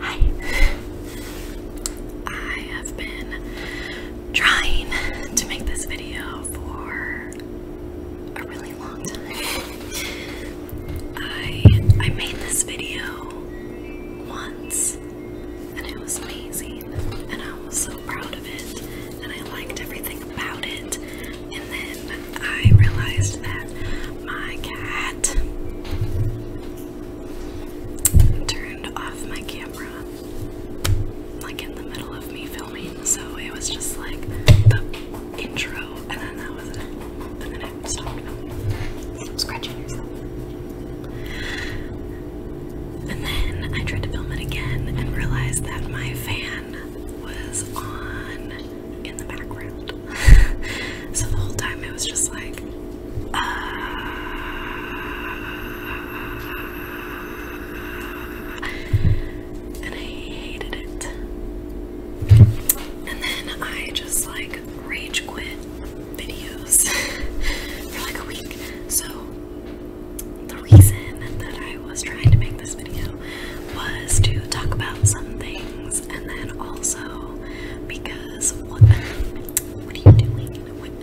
Hi. I have been trying to make this video for a really long time. I I made this video once and it was amazing and I was so proud of it and I liked everything about it and then I realized that my cat turned off my camera like in the middle of me filming, so it was just like the intro, and then that was it. And then I stopped filming. Scratching yourself. And then I tried to film it again and realized that my fan was on in the background. so the whole time it was just like, ah. and I hated it. And then I just like rage quit videos for like a week. So the reason that I was trying to make this video was to talk about some things and then also because what what are you doing? What?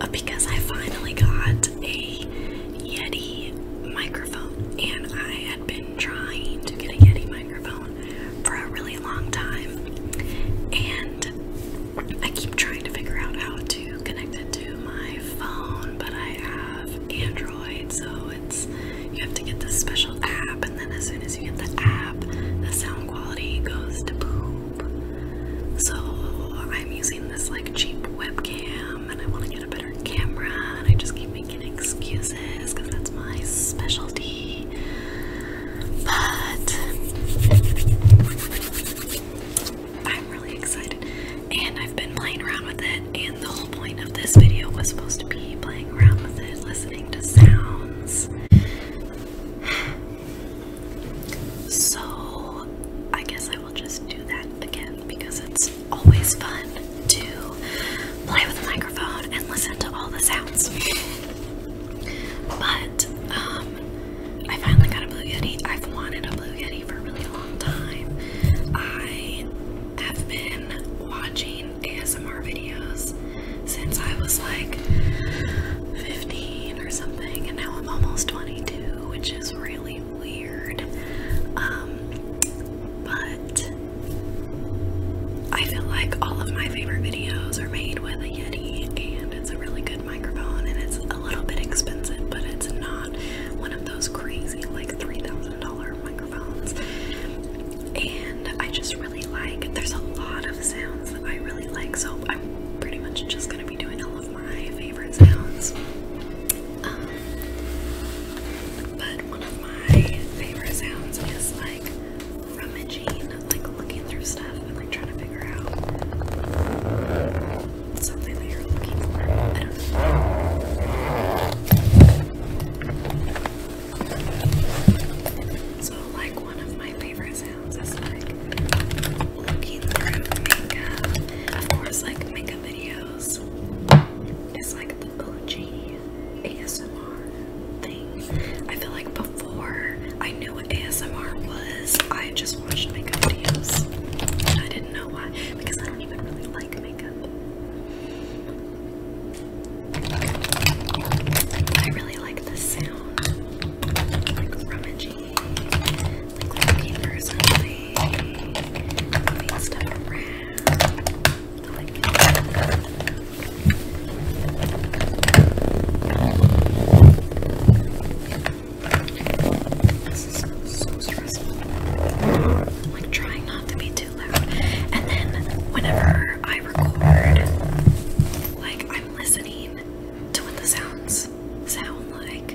Uh, because I finally got a Yeti microphone and I had been trying to get a Yeti microphone for a really long time and I keep trying to figure out how to to connect it to my phone, but I have Android, so it's you have to get this special app, and then as soon as you get the app, the sound quality goes to poop. So I'm using this like cheap webcam, and I want to get a better camera, and I just keep making excuses because that's my specialty. But I'm really excited and I've been playing around with it and the whole point of this video was supposed to be playing around with it, listening to sounds. So I guess I will just do that again because it's always fun to play with a microphone and listen to all the sounds. But um I finally got a Blue Yeti. I've wanted a Blue Yeti for a really long time. I have been watching ASMR videos since I was like 15 or something, and now I'm almost 22, which is really weird. Um, but I feel like all of my favorite videos are made with a Yeti, it's a really good microphone and it's a little bit expensive, but it's not one of those crazy like $3,000 microphones. And I just really like, there's a lot of sounds that I really like, so I'm pretty much just gonna be doing all of my favorite sounds. Um, but one of my favorite sounds is like rummaging, like looking through stuff. I So like one of my favorite sounds is like looking through makeup. Of course like makeup videos is like the OG ASMR thing. I feel like before I knew ASMR was. I just watched makeup videos. And I didn't know why. Because I don't even really like makeup. I really like the sound. Like rummaging. Like looking for something. Moving stuff around. This is so stressful. I'm like trying not to be too loud. And then whenever I record, like I'm listening to what the sounds sound like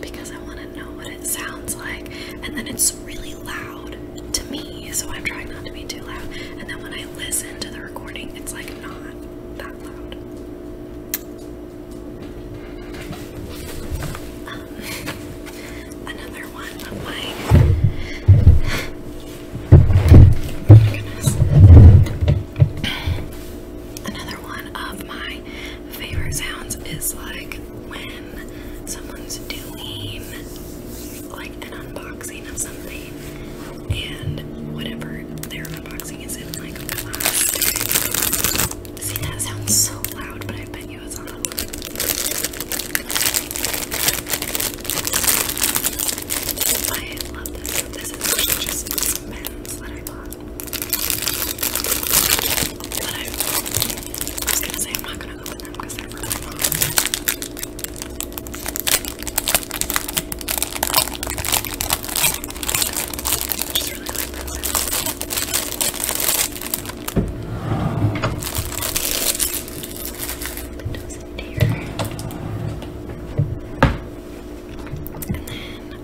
because I want to know what it sounds like. And then it's really loud to me, so I'm trying not to be too loud. And then when I listen to the recording, it's like not that loud. Another one of my favorite sounds is like when someone's doing like an unboxing of something and whatever they're unboxing is in my plastic. See, that sounds so loud, but I bet you it's on. Oh, I love this. This is just some pens that I bought. But I, was gonna say I'm not gonna open them because they're really long. Just really like that sound. Windows in here. And then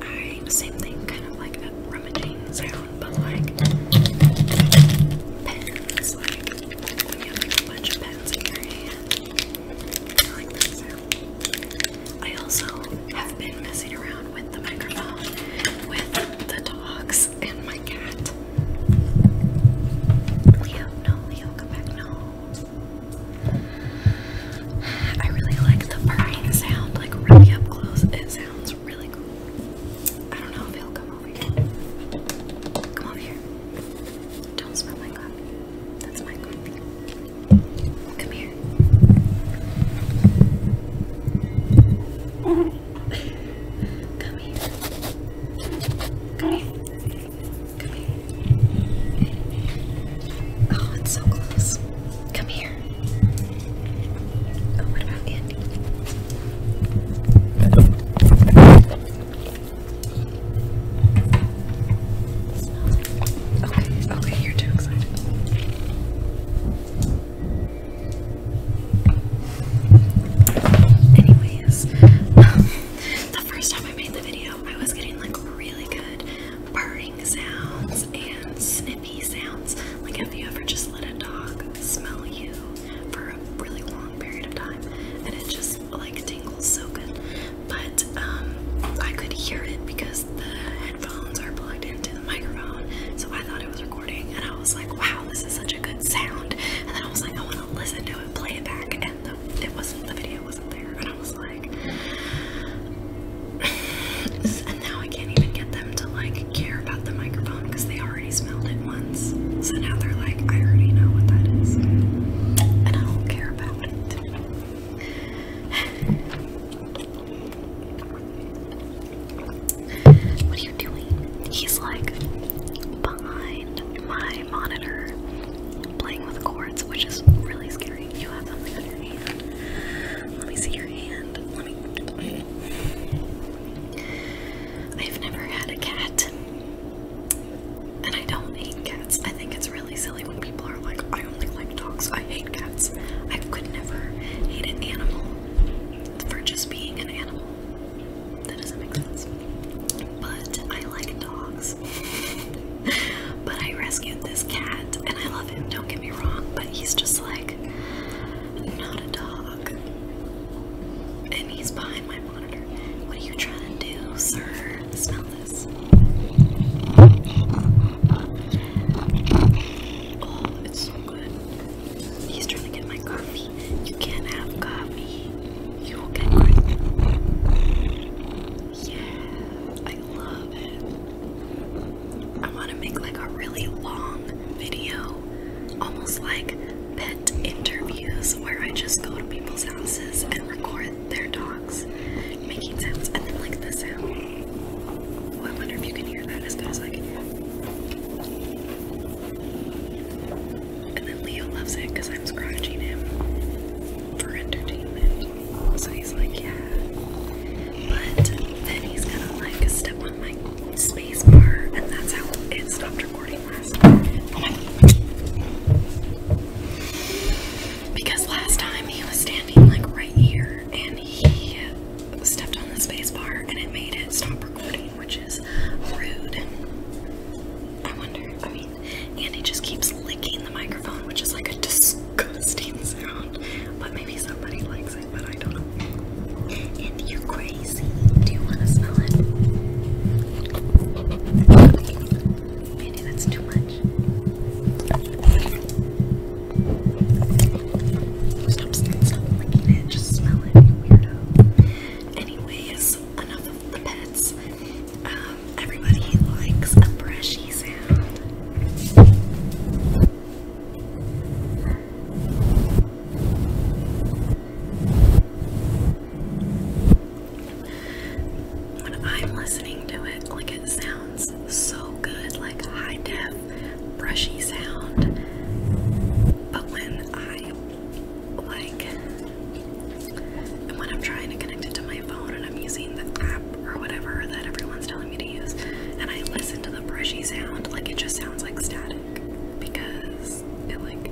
I, same thing, kind of like a rummaging sound, but like pens, like when you have like a bunch of pens in your hand. I like that sound. I also have been messing around with the microphone with the dogs and my cat. Leo, no, Leo, come back, no. I really like the purring sound, like really up close. It sounds really cool. I don't know if he'll come over here. Come over here. Don't smell my coffee. That's my coffee. Come here. Come here. Come here. Oh, it's so close. Come here. Oh, what about Andy? Okay, okay, you're too excited. Anyways, um, the first time I made the video, I was getting like really good purring sounds and snippy sounds. Like, have you ever just let a dog smell you for a really long period of time and it just like tingles so good. But um, I could hear it because the headphones are plugged into the microphone, so I thought it was recording, and I was like, wow, this is such a good sound. And then I was like, I want to listen to it, play it back, and the, it wasn't the video wasn't there, and I was like. and now I can't even get them to like care about the microphone because they already smelled it once. So now they're like, I already know what that is. And I don't care what are you doing? He's like behind my monitor playing with cords, which is really scary. You have something on Let me see your hand. Let me. I've never had a cat. And I don't hate cats. I think it's really silly when people are like, I only like dogs, I hate cats. I could never hate an animal for just being an animal. That doesn't make sense. But I like dogs. but I rescued this cat and I love him, don't get me wrong, but he's just like not a dog. And he's behind my what are you trying to do, sir? Smell this. Oh, it's so good. He's trying to get my coffee. You can't have coffee. You will get one. Yeah, I love it. I want to make like a really long video, almost like pet interviews where I just go to people's houses and record their dogs making sounds and then like the sound. Oh, I wonder if you can hear that as I can hear And then Leo loves it because I'm scratching him for entertainment. So he's like, yeah. But then he's gonna like step on my space bar and that's how it stopped recording. Because last time he was standing like right here and he stepped on the space and it made it stop recording, which is rude. I wonder, I mean, Andy just keeps licking the microphone, which is like a disgusting sound. But maybe somebody likes it, but I don't know. And you quit crazy. Do you want to smell it? Maybe that's too much. Stop, stop it. Just smell it, you weirdo. Anyways, enough of the pets. Um, everybody likes a brushy sound. When I'm listening to it, like it sounds so good, like a high def, brushy sound. But when I like, and when I'm trying to connect it to my phone and I'm using the app or whatever that everyone's telling me to use, and I listen to the brushy sound, like it just sounds like static because it like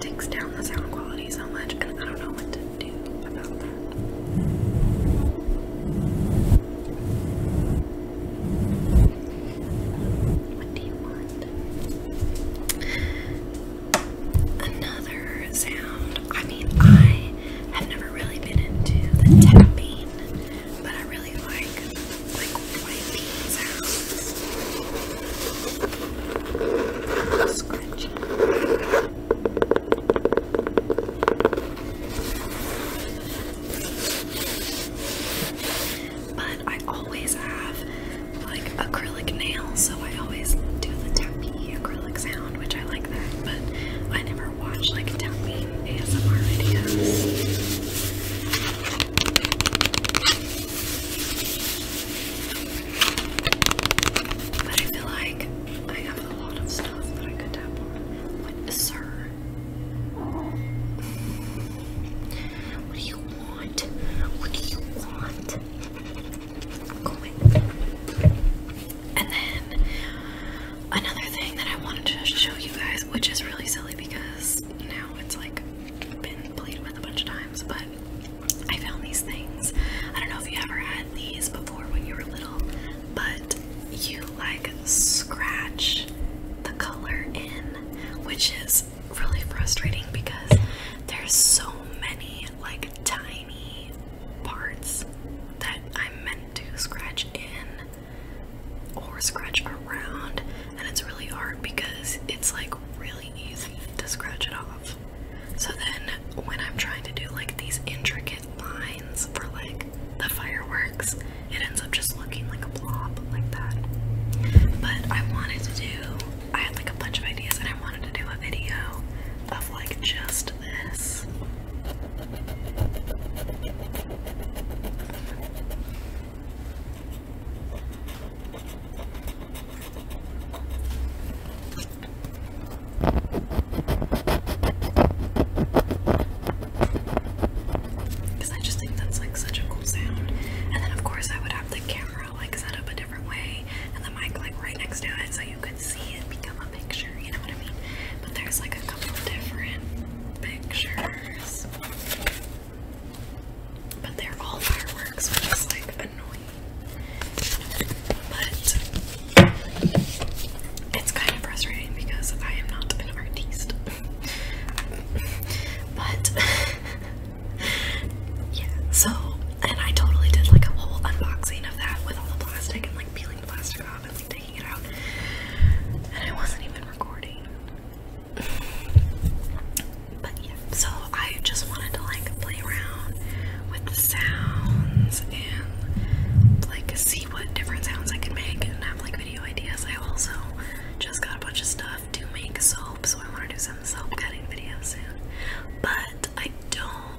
takes down the sound quality so much, and I don't know what to do about that. What do you want? Another sound. I mean, I have never really been into the tapping but I really like like white bean sounds. But I always have like acrylic nails, so I always do the tappy acrylic sound, which I like that, but I never watch like tapping ASMR videos. But I feel like I have a lot of stuff that I could tap on. What, sir? What do you want? What do you want? And then Another thing that I wanted to show you guys, which is really silly because now it's like been played with a bunch of times, but I found these things. I don't know if you ever had these before when you were little, but you like scratch the color in, which is really frustrating because there's so many like tiny parts that I'm meant to scratch in or scratch around, and it's really hard because it's like really easy to scratch it off. So then, when I'm trying to do like these intricate lines for like the fireworks, it ends up just looking like a blob like that. But I wanted to do, I had like a bunch of ideas, and I wanted to do a video of like just this because I just think that's like such a cool sound. And then, of course, I would have the camera like set up a different way and the mic like right next to it so you could see it become a picture, you know what I mean? But there's like a couple different pictures. But they're all fireworks, which is like annoying. But it's kind of frustrating because I am not an artiste. but yeah, so and I totally did like a whole unboxing of that with all the plastic and like peeling the plastic off taking it out. And I wasn't even recording. but yeah, so I just wanted to like play around with the sounds and like see what different sounds I could make and have like video ideas. I also just got a bunch of stuff to make soap, so I want to do some soap cutting videos soon. But I don't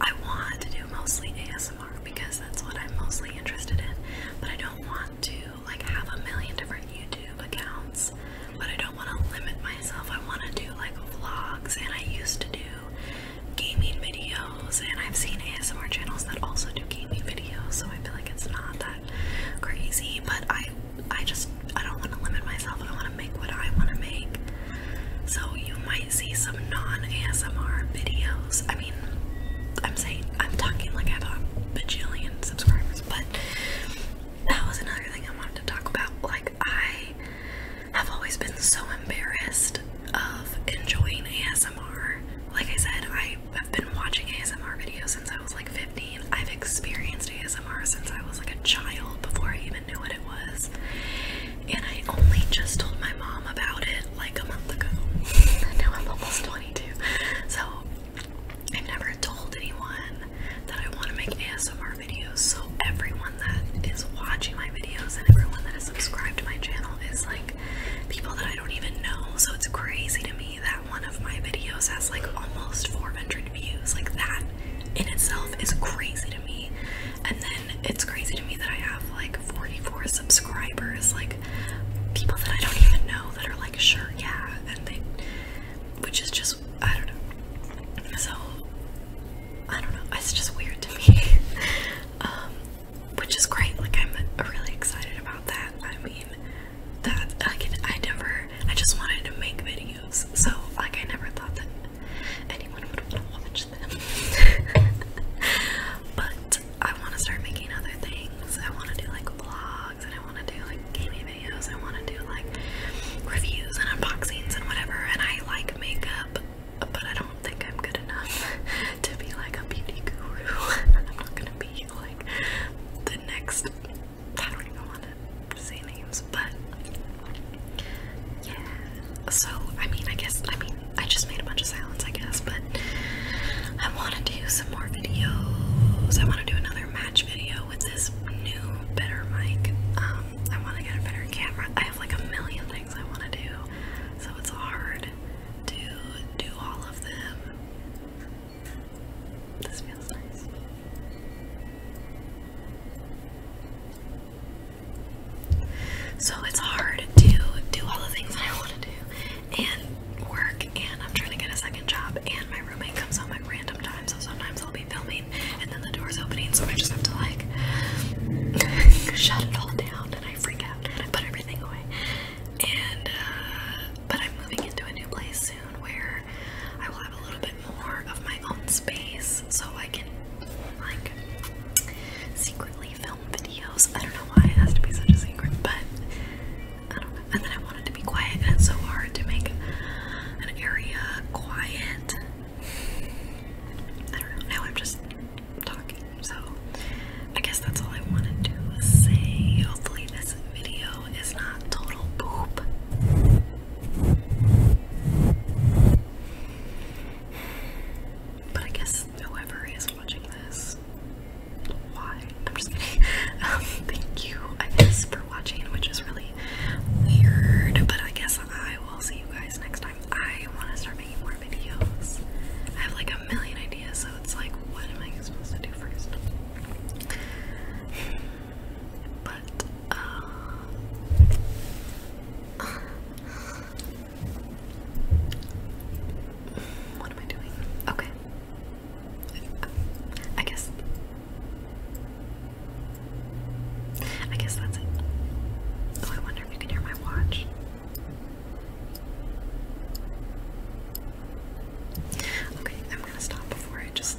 I want to do mostly ASMR because that's what I'm mostly interested in. But I don't want to like have a million different YouTube accounts. But I don't want to limit myself. I want to do like vlogs, and I used to do gaming videos, and I've seen ASMR channels that also do gaming videos. So I feel like it's not that crazy. But I, I just I don't want to limit myself. I want to make what I want to make. So you might see some non-ASMR videos. I mean, I'm saying I'm talking like a bajillion subscribers, but that was another thing I wanted to talk about. Like I have always been so embarrassed of enjoying ASMR. Like I said, I have been watching ASMR videos since I was like 15. I've experienced ASMR since I was like a child before I even knew what it was and I only just told my mom about it like a month ago. now I'm almost 22. So I've never told anyone that I want to make ASMR videos. So everyone that is watching my videos and everyone that is subscribed to my channel is like people that I don't even know. So it's crazy to me that one of my videos has like almost 400 views. Like that in itself is crazy to me and then it's crazy to me that I have like 44 subscribers, like people that I don't even know that are like, sure, yeah, and they, which is just, I don't know. So, I don't know, it's just weird to me. um, which is great, like, I'm really excited about that. I mean, that, like, I never, I just wanted to make videos, so, like, I never thought that anyone would want to watch but I want to start making other things. I want to do like vlogs, and I want to do like gaming videos. I want to do like reviews and unboxings and whatever. And I like makeup, but I don't think I'm good enough to be like a beauty guru. I'm not gonna be like the next. I don't even want to say names, but yeah. So, I mean, I guess, I mean, I just made a bunch of silence, I guess, but I want to do some more videos. I want to do another match video with this new, better mic. Um, I want to get a better camera. I have like a million things I want to do, so it's hard to do all of them. This feels nice. So it's hard to do all the things that I want to do and work, and I'm trying to get a second job, and my roommate comes home at random times, so sometimes I'll be filming and then the door's opening, so I just have to like shut it all down, and I freak out, and I put everything away. And uh, but I'm moving into a new place soon where I will have a little bit more of my own space, so I can like secretly film videos. I don't know why it has to be such a secret, but I don't know. And then I wanted to be quiet, and it's so hard to make an area quiet. I don't know. Now I'm just talking, so I guess that's all I wanted to say. Hopefully, this video is not total poop. But I guess whoever is watching this, why? I'm just kidding. Um, thank you, I guess, for watching, which is really weird. But I guess I will see you guys next time. I want to start making more videos. I have like a million ideas, so it's like, what am I supposed to do first? but uh, what am I doing? Okay, I guess I guess that's it. Oh, I wonder if you can hear my watch. Okay, I'm gonna stop before I just.